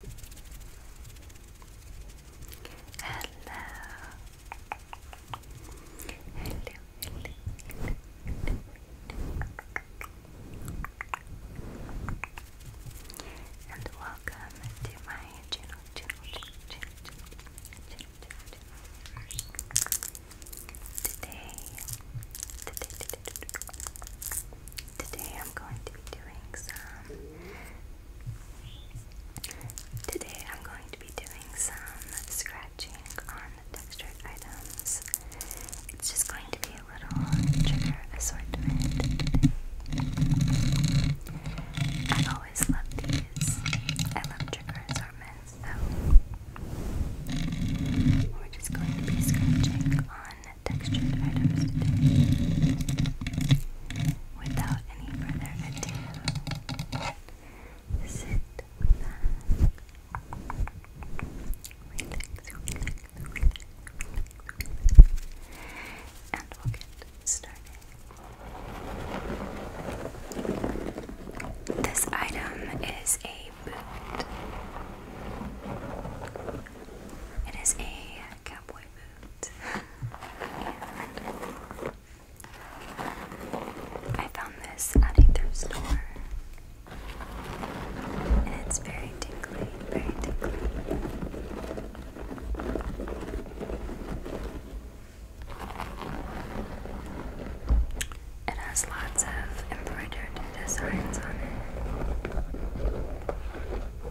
Hello. Hello, And welcome to my channel, channel, today, today I'm going to be doing some Today I'm going to be doing some scratching on the textured items. It's just going to be a little trigger assortment I've always loved these. I love trigger assortments, so we're just going to be scratching on Without any further ado, sit back. Relax, And we'll get started. This item is a boot. It is a I found this at a thrift store. And it's very tingly, very tingly. It has lots of embroidered designs on it.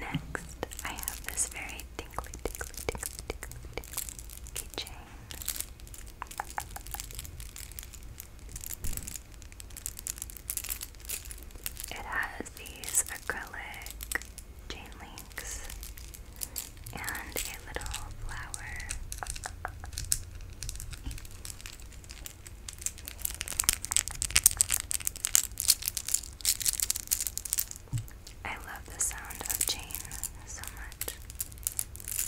Next, I have this very tingly, tingly, tingly, tingly, tingly it has these acrylic chain links and a little flower. I love the sound of chain so much.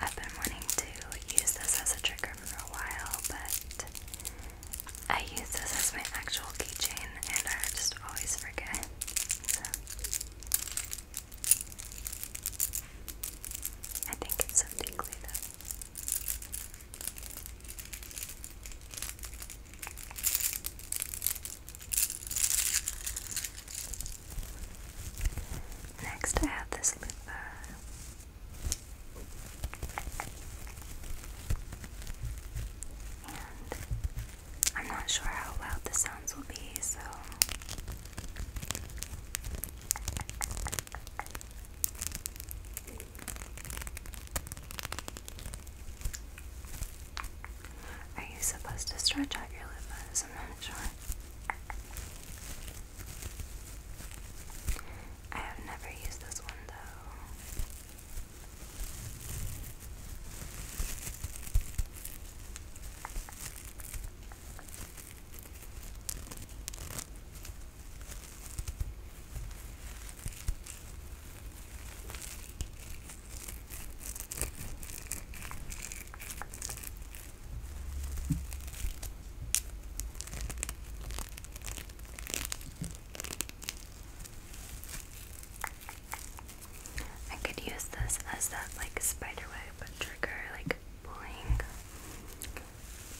I've been wanting to use this as a trigger for a while, but I use this as my actual keychain and I just always forget. So. I think it's so tingly Next, I have this lip uh, And I'm not sure how loud the sounds will be, so are you supposed to stretch out your limbs? I'm not sure. I have never used this one though. I could use this as that like spiderweb trigger, like pulling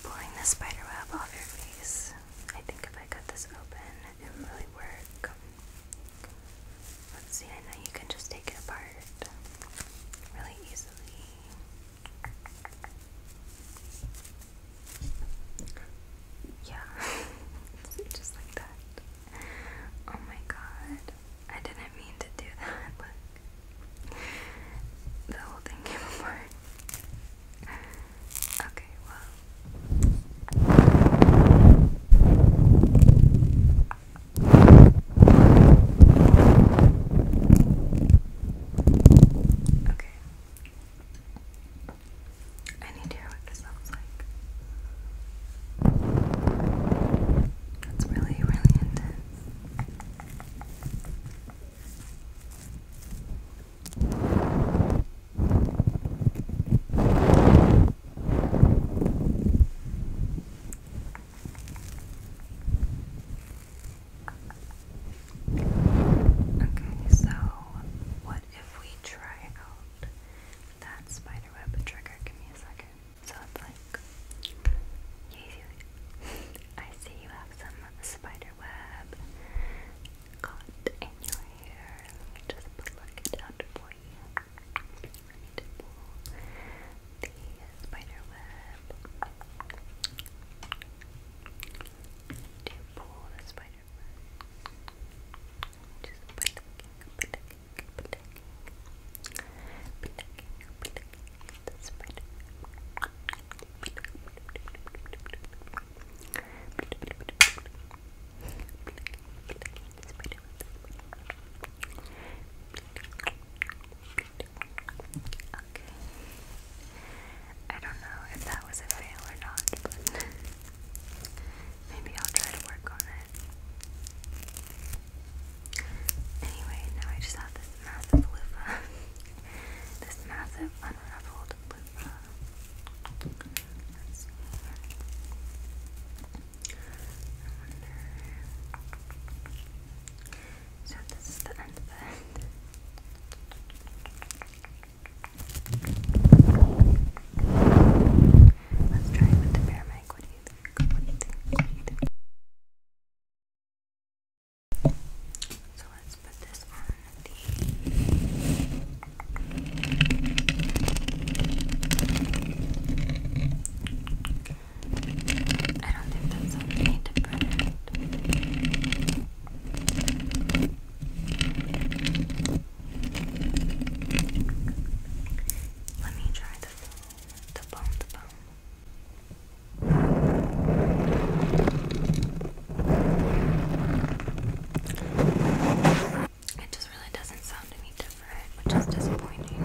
pulling the spider web off your face. I think if I cut this open, it would really work. Let's see, I you can just take it apart really easily. Yeah, just like that. Oh my god, I didn't mean to do that. Look, the whole thing came apart. Okay, well. Okay. I need to hear what this sounds like. That's really, really intense. Okay, so what if we try out that spiderweb trigger? Give me a second. So it's like, I see you have some spider web caught in your hair. just pluck it out for you. I need to pull the spider web. To pull the spider web. Just plucking, plucking, plucking, plucking, plucking the spread. I don't know if that was a fail or not, but maybe I'll try to work on it. Anyway, now I just have this massive loofah. this massive unraveled loop. So this is the end of it. Let's try it with the bear mic. What do you think? So let's put this on I don't think that's something we need to Let me try the the bone, the bone. It just really doesn't sound any different, which is disappointing.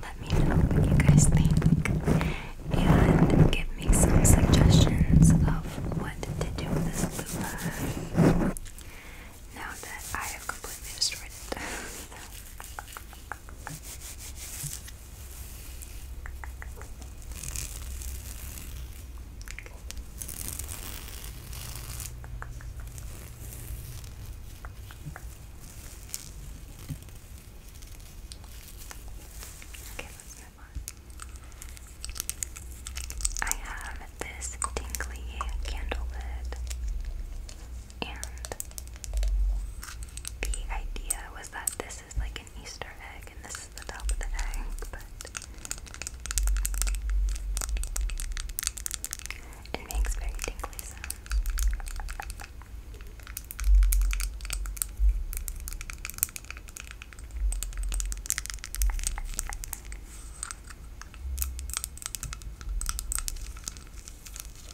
Let me know what you guys think and give me some suggestions of what to do with this loop. Now that I have completely destroyed it. Okay, let I have this tingly candle lid the idea was that this is like an Easter egg and this is the top of the egg, but it makes very tingly sounds.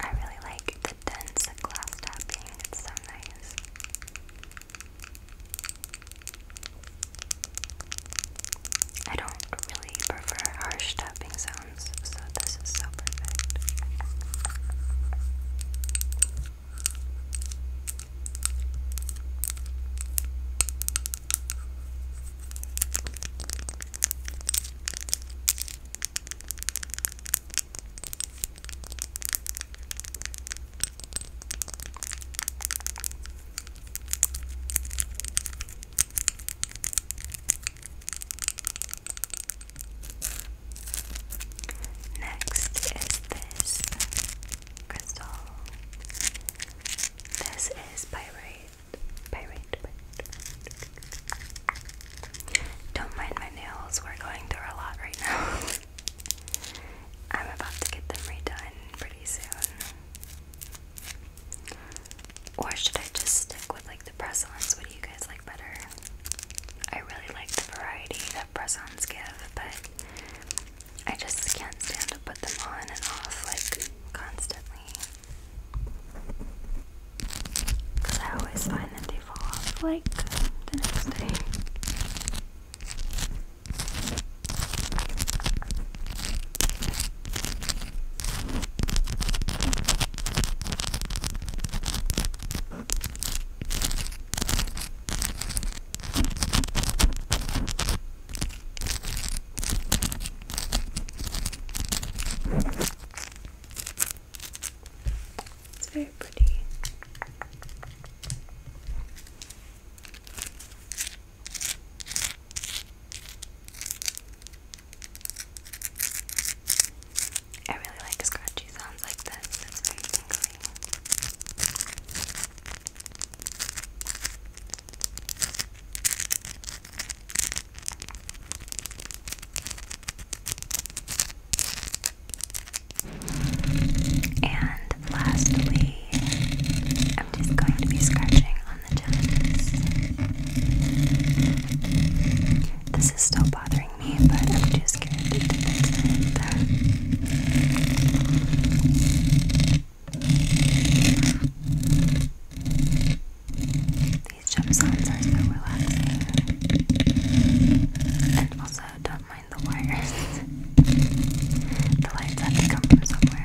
I really like the dense glass tapping, it's so nice. I don't really prefer harsh tapping sounds, so this is so perfect. Next is this crystal. This is pirate. Pyrite, Don't mind my nails, we're going through a lot right now. I'm about to get them redone pretty soon. Or should I just stick with like the press ons? What do you guys like better? I really like the variety that press ons give, but I just can't stand to put them on and off like constantly. Because I always find that they fall off like the next day. It's very pretty. I really like scratchy sounds like this. It's very tingly. And lastly, I'm just going to be scratching on the gels. This is still bothering me, but I'm just scared to do this either. These jump sounds are so relaxing. And also, don't mind the wires. the lights have to come from somewhere.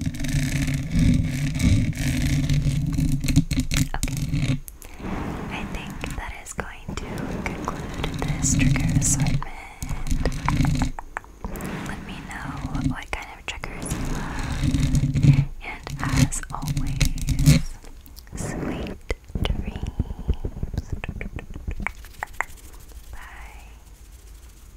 Okay. I think that is going to conclude this trigger assortment. Let me know what kind of triggers you love. And as always, sweet dreams. Bye.